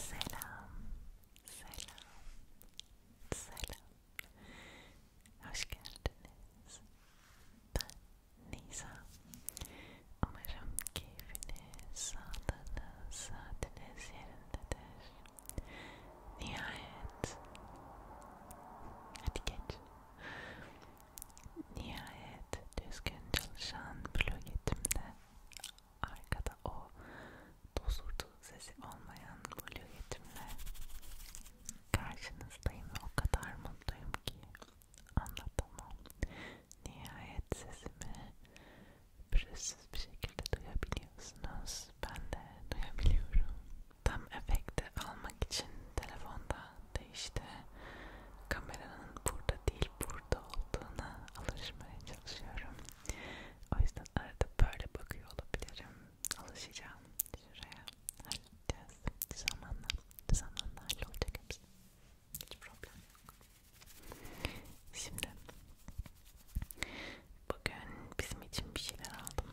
Selam, selam, selam. Hoş Ben Nisa. Umarım keyfiniz, sağlığınız, saatiniz yerindedir. Nihayet, hadi geç. Nihayet düzgün çalışan blogetimde arkada o dozurdu sesi olmayan blueyetimle karşınızdayım ve o kadar mutluyum ki anlatamam. Nihayet sesimi pürüzsüz bir şekilde duyabiliyorsunuz. Ben de duyabiliyorum. Tam efekti almak için telefonda değişti. Kameranın burada değil burada olduğuna alışmaya çalışıyorum. O yüzden arada böyle bakıyor olabilirim. Alışacağım. Şuraya halledeceğiz. Zamanla, zamanla hallolacak hepsi. Hiç problem yok. Şimdi bugün bizim için bir şeyler aldım.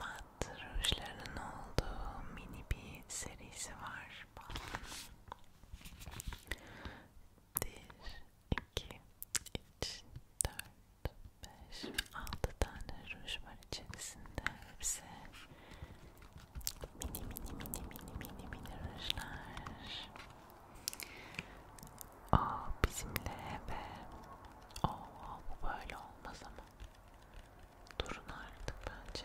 mat rujlarının olduğu mini bir serisi var. Bir, iki, üç, dört, beş, altı tane ruj var içerisinde. Hepsi mini mini mini mini mini mini rujlar. Aa bizimle ve o bu böyle olmaz ama Durun artık bence.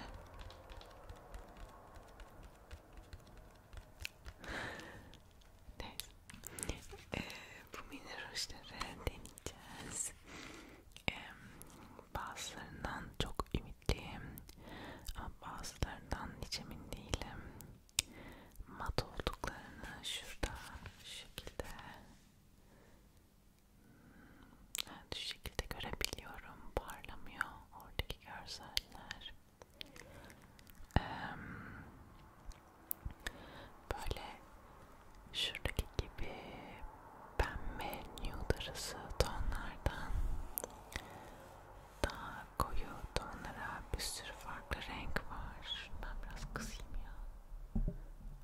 Neyse. Ee, bu mini rujları deneyeceğiz. Ee, bazılarından çok ümitliyim. Ama bazılarından hiç emin değilim. Mat olduklarını şurada şu şekilde Evet, şu şekilde görebiliyorum. Parlamıyor oradaki görseller. Ee, böyle şuradaki gibi pembe nude arası tonlardan daha koyu tonlara bir sürü farklı renk var. Ben biraz kısayım ya.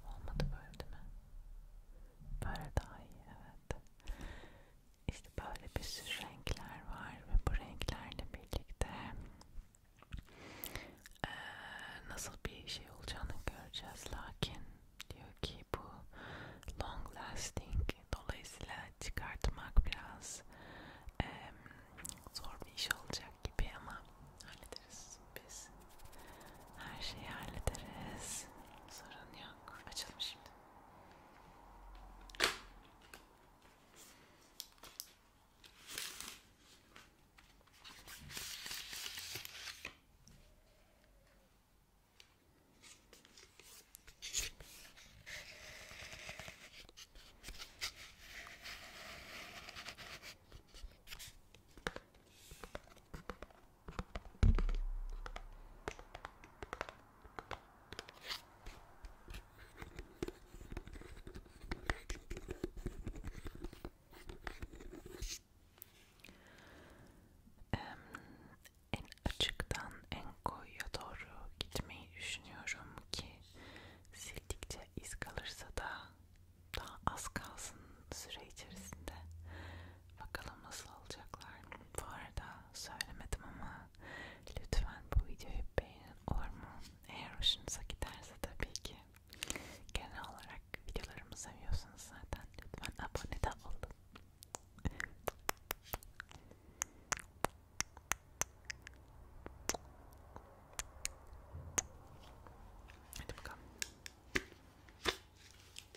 Olmadı böyle değil mi? Böyle daha iyi evet. İşte böyle bir sürü renkler var ve bu renklerle birlikte ee, nasıl bir şey olacağını göreceğiz. Lakin diyor ki bu long lasting dolayısıyla çıkartmak biraz e, zor bir iş olacak gibi ama hallederiz biz. Her şeyi hallederiz. Sorun yok. Açalım şimdi. En açıktan en koyuya doğru gitmeyi düşünüyorum ki sildikçe iz kalırsa da daha az kalsın süre içerisinde. Bakalım nasıl olacaklar. Bu arada söylemedim ama lütfen bu videoyu beğenin olur mu? Eğer hoşunuza giderse tabii ki. Genel olarak videolarımı seviyorsanız zaten lütfen abone de olun. Hadi bakalım.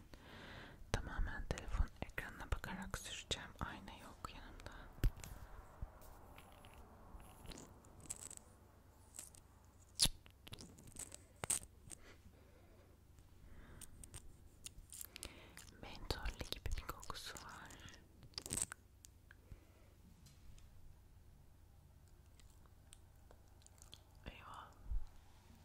ben tamamen telefon ekranına bakarak süreceğim. Ayna yok yanımda. Mentolli gibi bir kokusu var. Eyvah.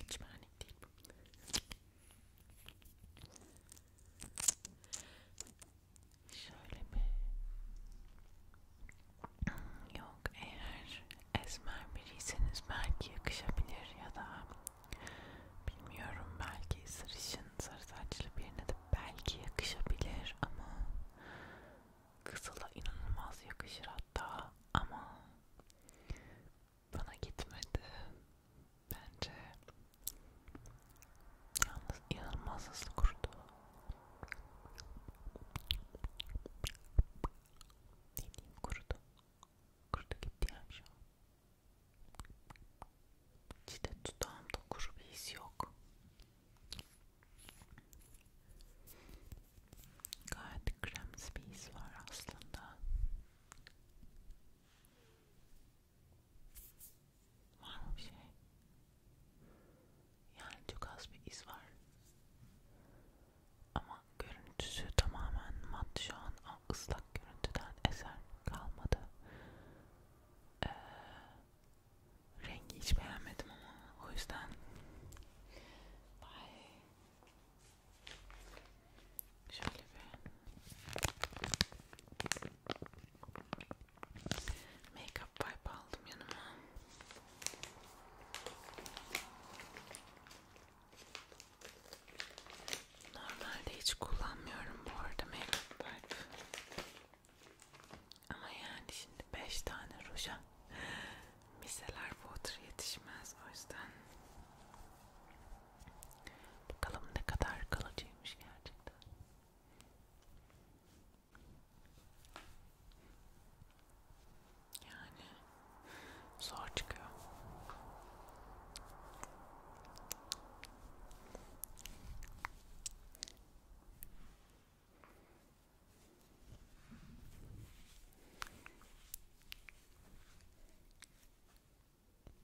Hiç panik değil bu. Şöyle mi? Yok eğer esmer biriyseniz belki yakışabilir ya da bilmiyorum belki sarışın sarı saçlı birine de belki yakışabilir ama Kızıla inanılmaz yakışır hatta ama bana gitmedi bence. Yalnız inanılmaz hızlı kurudu. Ne diyeyim kurudu. Kurudu gitti yani şu an. İşte dudağımda kuru bir his yok. Gayet kremsi bir his var aslında. Var mı bir şey? Yani çok az bir iz var. Ama görüntüsü tamamen mat şu an. O ıslak görüntüden eser kalmadı. Ee, Rengi hiç beğenmedim ama o yüzden Bye. Şöyle bir make-up wipe aldım yanıma. Normalde hiç kullanmıyorum bu arada make-up wipe. Ama yani şimdi 5 tane ruja miseler water yetişmez o yüzden bakalım ne kadar kalıcıymış gerçekten. Yani zor çıkıyor.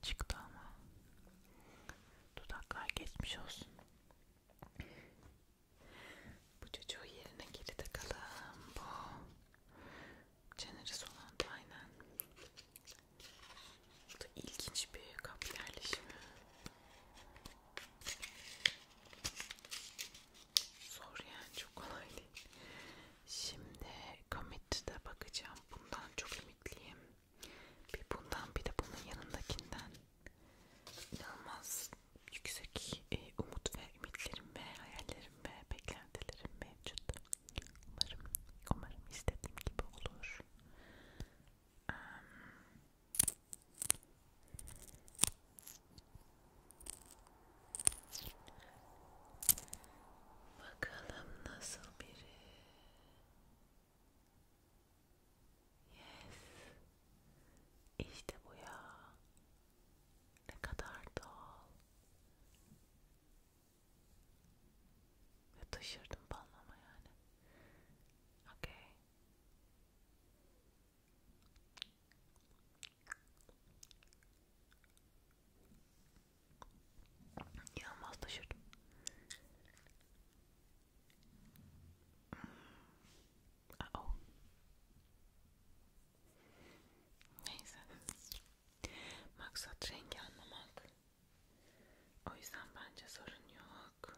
Çıktı ama dudaklar geçmiş olsun. Bu çocuğu yerine geri takalım. Bu çeneri solandı aynen. Bu da ilginç bir kapı yerleşimi. Zor yani çok kolay değil. Şimdi commit'e bakacağım. Bundan çok ümitliyim. Bir bundan bir de bunun yanındakinden inanılmaz yüksek e, umut ve ümitlerim ve hayallerim ve beklentilerim mevcut. Umarım, umarım istediğim gibi olur. Um, bakalım nasıl biri. Yes. İşte bu ya. Ne kadar doğal. Ve taşırdım balmama yani. Okay. You almost should. oh. Neyse. Maksat rengi anlamak. O yüzden bence sorun yok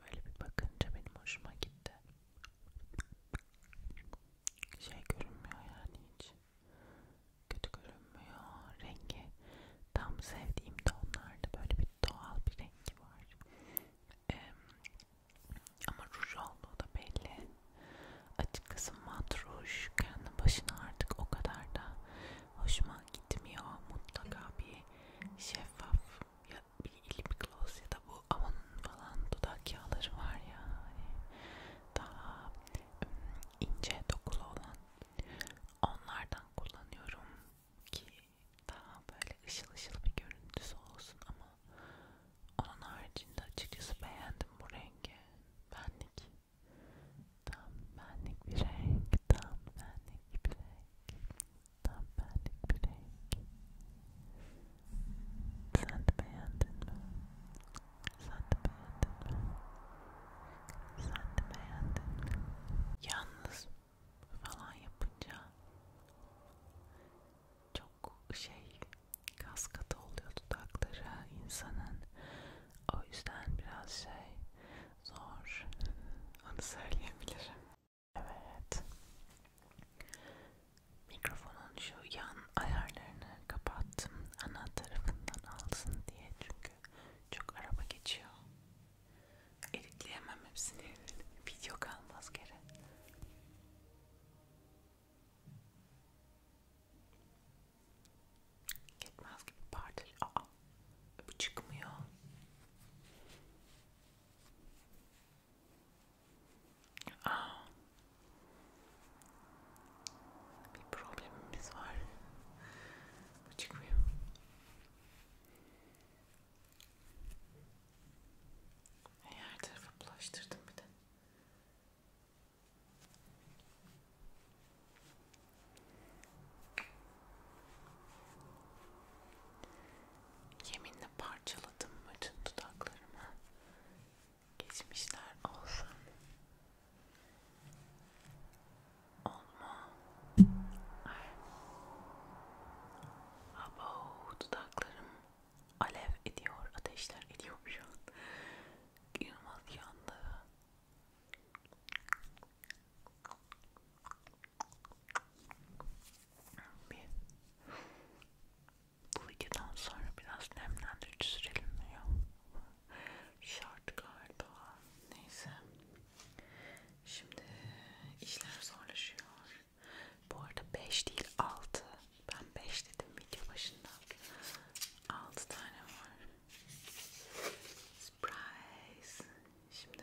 Böyle bir bakınca benim hoşuma gitti. Şey görünmüyor yani hiç. Kötü görünmüyor. Rengi tam sevdiğim tonlarda böyle bir doğal bir rengi var. Ee, ama ruj olduğu da belli. Açıkçası mat ruj kendi başına artık o kadar da hoşuma gitmiyor. Mutlaka bir şeffaf ya bir lip gloss ya da bu Avon'un falan dudak yağları var ya hani daha ince dokulu olan onlardan kullanıyorum ki daha böyle ışıl ışıl bir görüntüsü olsun ama onun haricinde açıkçası beğendim bu rengi benlik tam benlik bir renk tam benlik bir renk Tam benlik bir renk. Sen de beğendin mi? Sen de beğendin mi? Sen de beğendin mi? Yalnız falan yapınca çok şey kaskatı oluyor dudakları insanın. O yüzden biraz şey zor onu söyleyebilirim. Evet. Mikrofonun şu yan ayarlarını kapattım. Ana tarafından alsın diye çünkü çok araba geçiyor. Editleyemem hepsini. Video kalmaz geri. Gitmez gibi partil. Aa, bu çıkmıyor. Aa, bir problemimiz var. Bu çıkmıyor. Her tarafı bulaştırdım bir de. Yeminle parçaladım bütün dudaklarımı. Geçmişler olsun. Olma. Ay. Abo, dudaklarım alev ediyor, ateşler ediyor şu an. İnanılmaz yandı. Bir. Bu videodan sonra biraz nemlendirici sürelim mi ya? Şart galiba. Neyse. Şimdi işler zorlaşıyor. Bu arada 5 değil 6. Ben 5 dedim video başında. 6 tane var. Surprise. Şimdi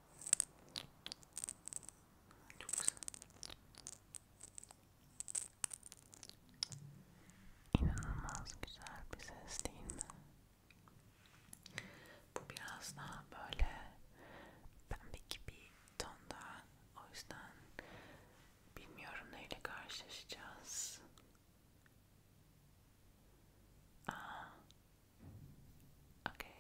Çok güzel. İnanılmaz güzel bir ses değil mi? Bu biraz daha böyle pembe gibi tonda. O yüzden bilmiyorum neyle karşılaşacağız. Aa, Okay.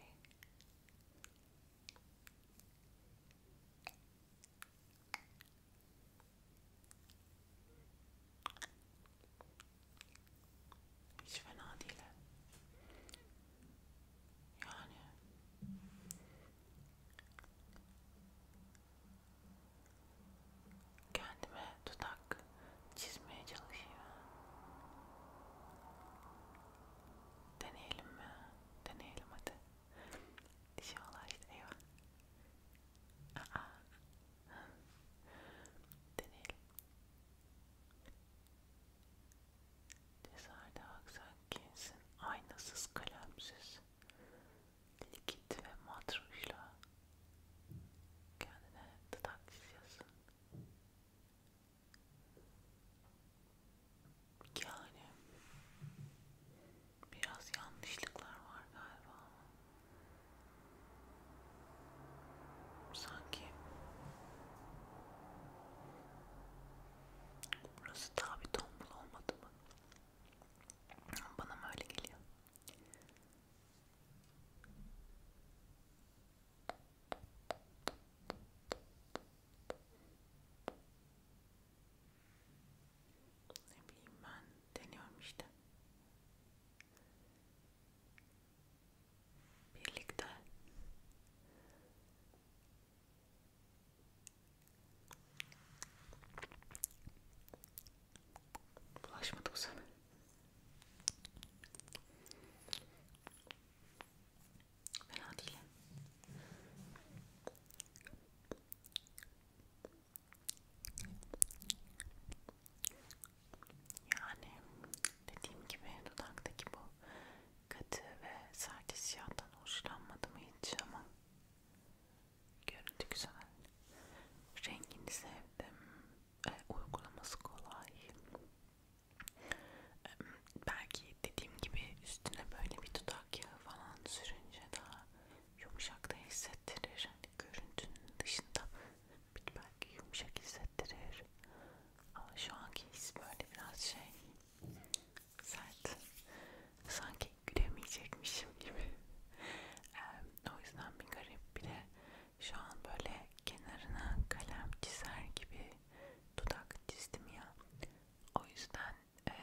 Hiç fena değil. Yani kendime dudak çizmeye çalışıyorum. Deneyelim mi? Deneyelim hadi. Dişi şey ola işte eyvah. Aa. Deneyelim. Dışarıda aksak kinsin. Aynasız kalemsiz. Likit ve mat rujla kendine dudak çiziyorsun. Yani biraz yanlışlıklar var galiba. Sanki burası daha bir tombul olmadı mı? Bana mı öyle geliyor? Ne bileyim ben deniyorum işte. Birlikte bulaşmadık sana. Fena değil. Yani dediğim gibi dudaktaki bu katı ve sert hissiyattan hoşlanmadım hiç ama görüntü güzel. Rengini sevdim. E, uygulaması kolay. Belki dediğim gibi üstüne böyle bir dudak yağı falan sürünce daha yumuşak da hissettirir. Hani görüntünün dışında belki yumuşak hissettirir. Ama şu anki his böyle biraz şey sert. Sanki gülemeyecekmişim gibi. o yüzden bir garip bile şu an böyle kenarına kalem çizer gibi dudak çizdim ya. O yüzden e,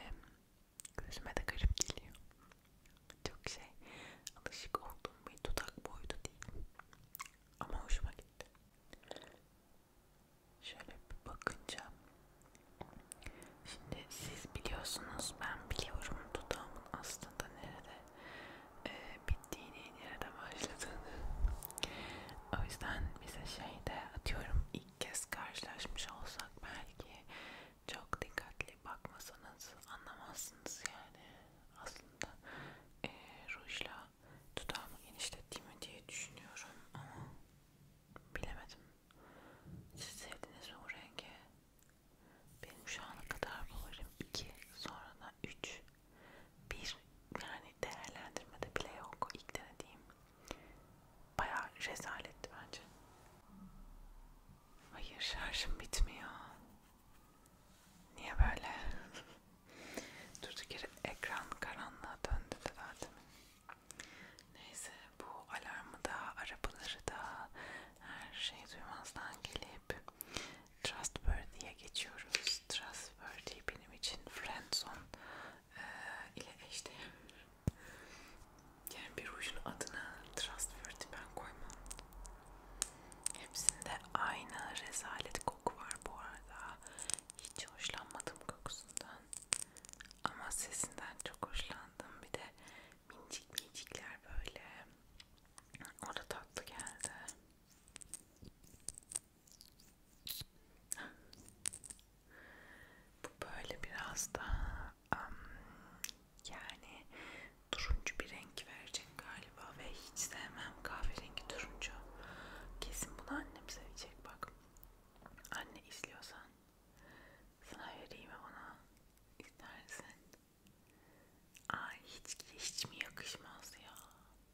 gözüme de garip geliyor. Çok şey alışık olduğum bir dudak boydu değil. Ama hoşuma gitti. Şöyle bir bakınca şimdi siz biliyorsunuz ben biliyorum dudağımın aslında nerede e, bir bittiğini, nereden başladığını. O yüzden bize şeyde atıyorum ilk kez karşılaşmış olsak belki çok dikkatli bakmasanız anlamazsınız yani aslında e, rujla dudağımı genişlettiğimi diye düşünüyorum ama bilemedim. Siz sevdiniz mi bu rengi? Benim şu ana kadar favorim 2, sonra da 3 bir yani değerlendirmede bile yok ilk denediğim bayağı rezaletti bence hayır şarjım bitmiyor niye böyle durduk yere ekran karanlığa döndü de zaten neyse bu alarmı da arabaları da her şeyi duymazdan gelip Trustworthy'ye geçiyoruz. Trustworthy benim için friendzone e, ile eşdeğer. Yani bir rujun adını Trustworthy ben koymam. Hepsinde aynı rezalet koku var bu arada. Hiç hoşlanmadım kokusundan. Ama sesinden çok hoşlandım. Bir de minicik minicikler böyle. O da tatlı geldi. Bu böyle biraz daha um, yani turuncu bir renk verecek galiba ve hiç sevmem kahverengi turuncu. Kesin bunu annem sevecek bak. Anne izliyorsan sana vereyim ona istersen. Ay hiç hiç mi yakışmaz ya?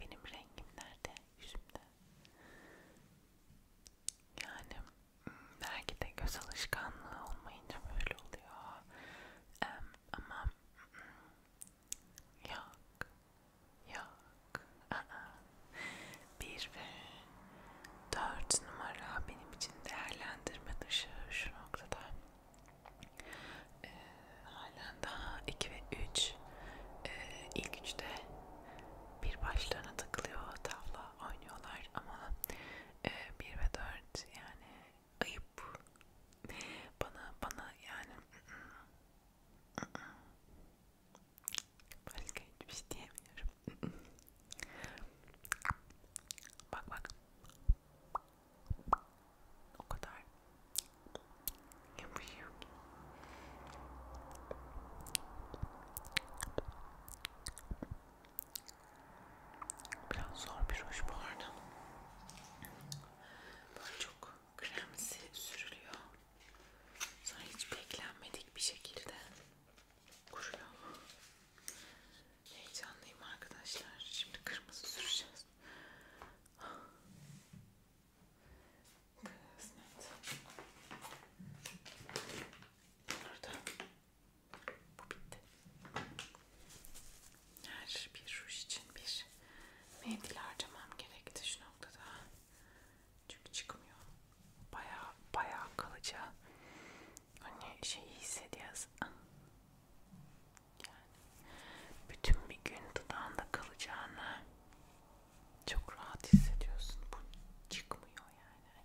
Benim rengim nerede yüzümde? Yani hmm, belki de göz alışkanlığı olmayınca böyle oluyor. Um, ama hmm, yok, yok. Aa. Bir ve dört numara benim için değerlendirme dışı şu noktada. Ee, halen daha 2 ve 3 ee, ilk üçte bir başlarına takılıyor tavla oynuyorlar ama e, ee, 1 ve 4 yani ayıp bana bana yani başka hiçbir şey diyemiyorum bak bak o kadar yapışıyor ki. Biraz zor bir ruj bu arada. Böyle çok kremsi sürülüyor. Sonra hiç beklenmedik bir şekilde kuruyor. Heyecanlıyım arkadaşlar. Şimdi kırmızı süreceğiz olsun. Kısmet. Burada. Bu bitti. Her bir ruj için bir mendil harcamam gerekti şu noktada. Çünkü çıkmıyor. Bayağı bayağı kalıcı. Hani şeyi hissediyoruz. Yani bütün bir gün dudağında kalacağını çok rahat hissediyorsun. Bu çıkmıyor yani.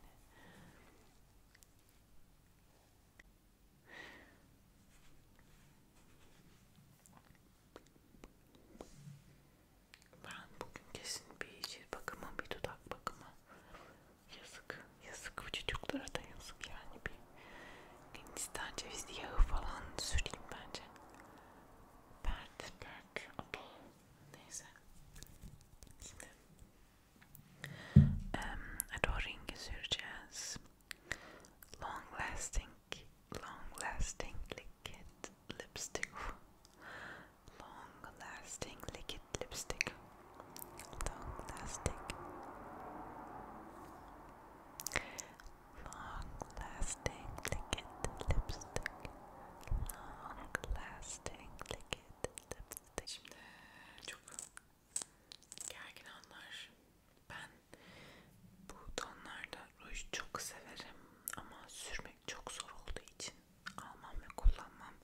Hani ben bugün kesin bir cilt bakımı, bir dudak bakımı yazık, yazık bu çocuklara da yazık yani bir Gençlerce biz yağı falan süreyim bence. Pert, perk, apple. Neyse. Şimdi. Um, Roaring Long lasting, long lasting liquid lipstick. Long lasting liquid lipstick. Long lasting. Long-lasting liquid lipstick. Long-lasting liquid lipstick. Şimdi çok gergin anlar. Ben bu tonlarda ruj çok severim ama sürmek çok zor olduğu için almam ve kullanmam.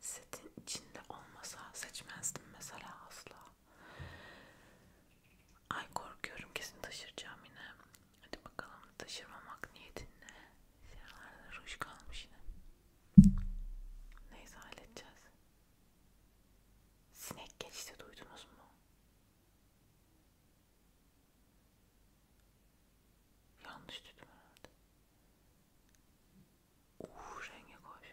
Setin içinde olmasa seçmezdim mesela asla. Ay korkuyorum kesin taşıracağım yine. Hadi bakalım taşırmamak niyetinle. Şuralarda ruj kalmış yine. Neyse halledeceğiz. Sinek geçti duydunuz mu? Yanlış duydum herhalde. Uuu renge koş.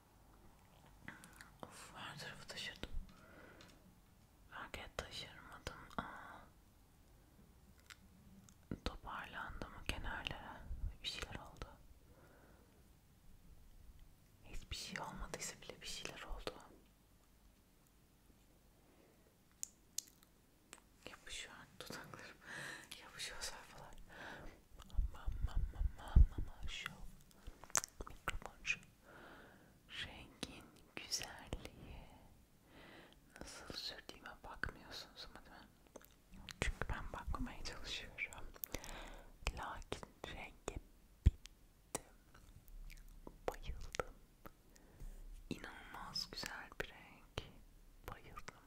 Of her tarafı taşırdım. Raket taşırmadım. Aa. Toparlandı mı kenarlara? Bir şeyler oldu. Hiçbir şey olmadıysa bile bir şeyler oldu. Yapışıyor dudaklarım. Yapışıyor sayfalar. Mama mama mama show mikrofon şu rengin güzelliği nasıl sürdüğüme bakmıyorsunuz ama değil mi? Çünkü ben bakmamaya çalışıyorum. Lakin renge bittim. Bayıldım. İnanılmaz güzel bir renk. Bayıldım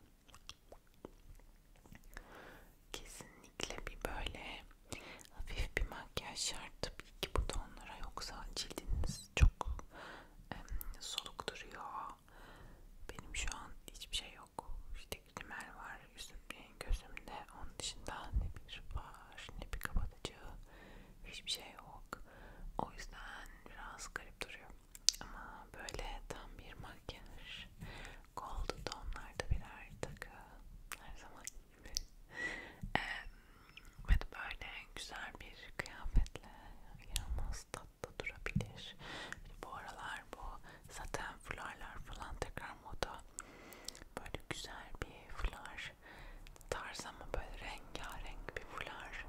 kesinlikle bir böyle hafif bir makyaj şart tabii ki bu tonlara yoksa cildiniz çok em, soluk duruyor. Benim şu an hiçbir şey yok. İşte rimel var yüzümde, gözümde. Onun dışında ne bir var, ne bir kapatıcı, hiçbir şey yok. O yüzden biraz garip duruyor. Ama böyle tam bir makyaj Gold tonlarda birer takı her zaman gibi e, ve de böyle güzel bir kıyafetle inanılmaz tatlı durabilir. Bu aralar bu zaten fularlar falan tekrar moda. Böyle güzel bir fular tarzı ama böyle rengarenk bir fular.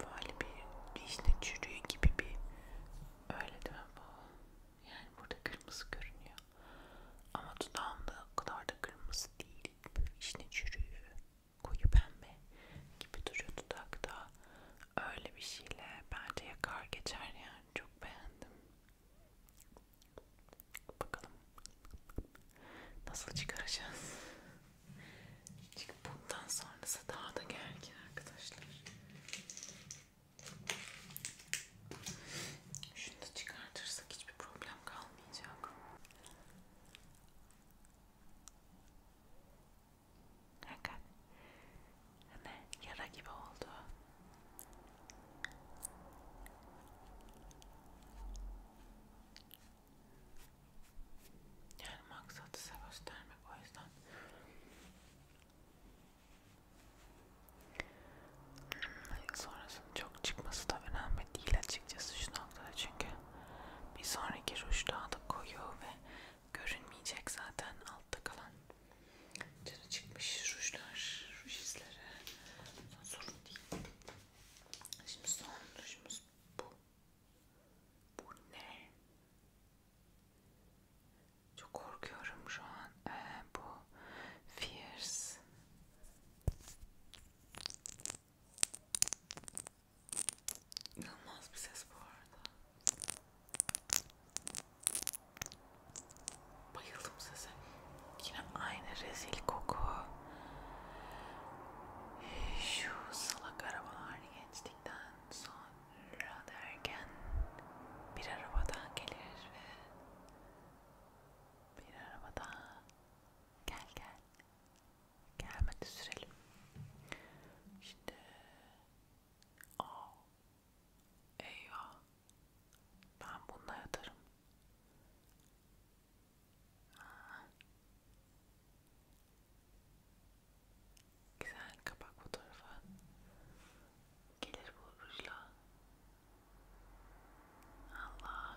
Böyle bir, bir işte çürüğü gibi bir öyle değil mi bu? Yani burada kırmızı görünüyor. Ama dudağımda o kadar da kırmızı değil. Böyle içine çürüyor. Koyu pembe gibi duruyor dudakta. Öyle bir şeyle bence yakar geçer yani. Çok beğendim. Bakalım. Nasıl çıkaracağız? Çünkü bundan sonrası daha da gergin arkadaşlar. Şunu da çıkartırsak hiçbir problem kalmayacak. Bakın. Hani yara gibi oldu. Yani maksadı size göstermek o yüzden Sonrasının çok çıkması da önemli değil açıkçası şu noktada çünkü bir sonraki ruj daha da koyu ve görünmeyecek zaten altta kalan canı çıkmış rujlar, ruj izleri sorun değil. Şimdi son rujumuz bu. Bu ne? Çok korkuyorum şu an. Ee, bu Fierce. İnanılmaz bir ses bu arada. Bayıldım sese. Yine aynı rezil koku. Şu salak arabalar geçtikten sonra derken bir araba daha gelir ve bir araba daha. Gel gel. Gelmedi sürelim. Şimdi. Aa. Eyvah. Ben bununla yatarım. Aa. Güzel kapak fotoğrafı. Gelir bu rujla. Allah.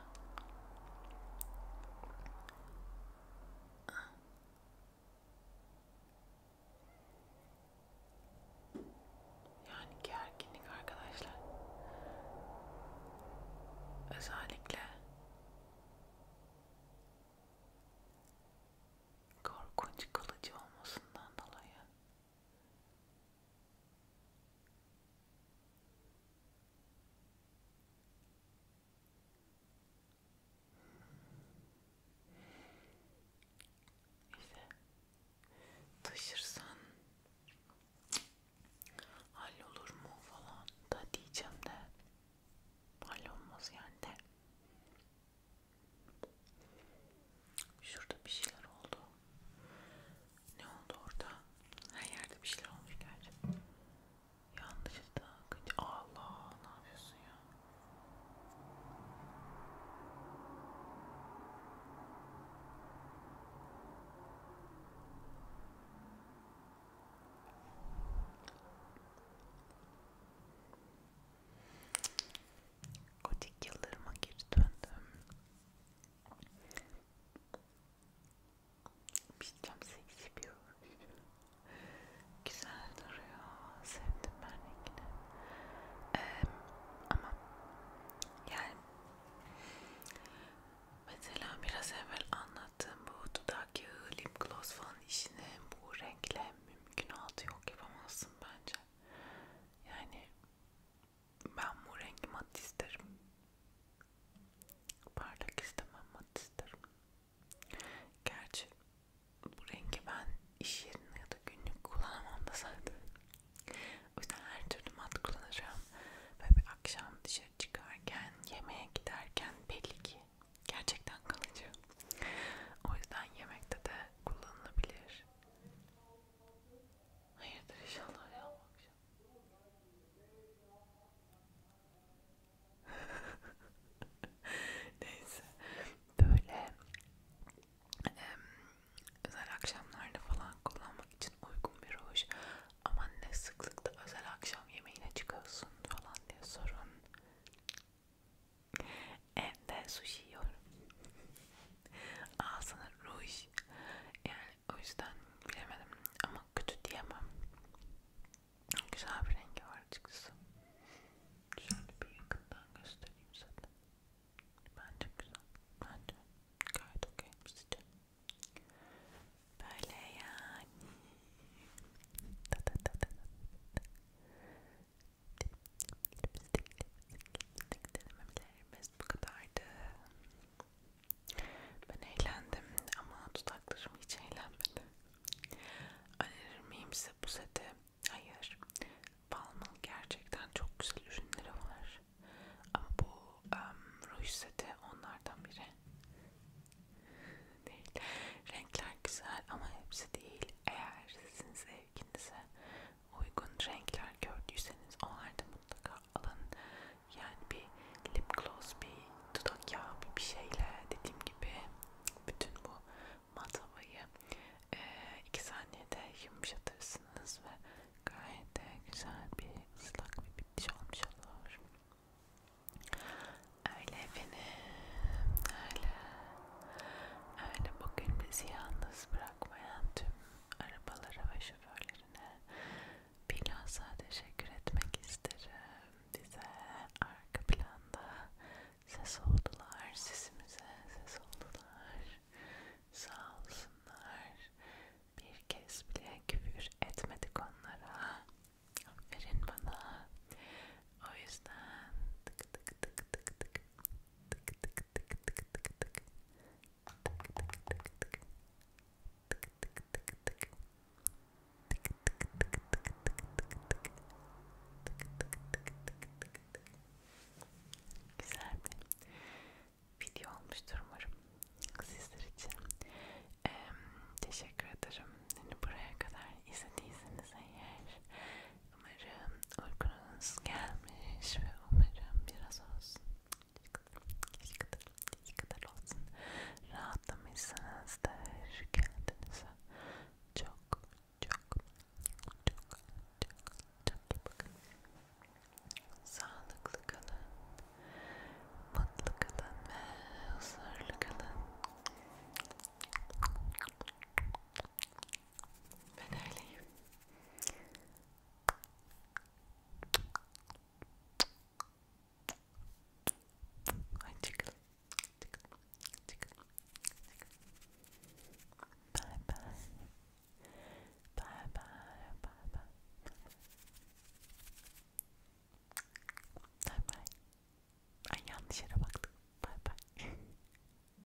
Yani gerginlik arkadaşlar. Özellikle korkunç kılıcı olmasından dolayı işte taşırsan hallolur mu falan da diyeceğim de hallolmaz yani de Şurada bir şeyler oldu. Ne oldu orada? Her yerde bir şeyler olmuş gerçi. Yanlışlıkla Allah ne yapıyorsun ya? gotik yıllarıma geri döndüm. Bilmiyorum seksi bir Güzel duruyor. Sevdim ben rengini. Ee, ama yani mesela biraz evvel anlattığım bu dudak yağı, lip gloss falan işini bu renkle mümkün altı yok yapamazsın bence. Yani ben bu rengi mat isterim. Parlak istemem mat isterim. Gerçi bu rengi ben iş yerinde ya da günlük kullanamam da zaten. O yüzden her türlü mat kullanacağım. Ve bir akşam dışarı çıkarken, yemeğe giderken belli ki gerçekten kalıcı. O yüzden yemekte de kullanılabilir. Hayırdır inşallah ya bu akşam. Neyse böyle e, özel akşamlarda falan kullanmak için uygun bir ruj ama ne sıklıkta özel akşam yemeğine çıkıyorsun falan diye sorun Evde sushi yiyorum. Ağzına ruj. Yani o yüzden bilemedim ama kötü diyemem. Güzel bir rengi var açıkçası. Şöyle bir yakından göstereyim zaten. Bence güzel. Bence gayet okey sizce. Böyle yani. Da da da da da lipstick denemelerimiz bu kadardı. Ben eğlendim ama dudaklarım hiç eğlenmedi. Önerir miyim size bu seti? Hayır. Balm'ın gerçekten çok güzel ürünleri var. Ama bu um, ruj seti onlardan biri. Değil. Renkler güzel ama hepsi değil. Eğer sizin zevkinize uygun renkler gördüyseniz onlarda mutlaka alın. Yani bir lip gloss, bir dudak yağı, bir şeyle dediğim gibi bütün bu mat havayı e, iki saniyede yumuşatırsınız ve gayet de güzel bir ıslak bir bitiş olmuş olur. Öyle efendim, öyle. Öyle bugün bizi yalnız bırakmayan tüm arabalara ve şoförlerine bilhassa teşekkür etmek isterim. Bize arka planda ses oldular, sesimize ses oldular. Sağ olsunlar. Bir kez bile küfür etmedik onlara. Verin bana. O yüzden tık tık tık tık tık tık tık tık tık tık tık tık tık tık tık tık tık Güzel bir video olmuştur umarım sizler için. Ee, teşekkür ederim. Yani buraya kadar izlediyseniz eğer Umarım uykunuz gelmiş ve umarım biraz olsun. Hiç kadar, hiç kadar olsun. Rahatlamışsınızdır kendinize. Çok, çok, çok, çok, çok iyi bakın. Sağlıklı kalın, mutlu kalın ve huzurlu kalın. Ben öyleyim. Ay çıkın. Çıkın. Çıkın. Çıkın. Bye bye. Bye bye. Bye bye. Bye bye. Ay yanlış yere baktım. Bye bye.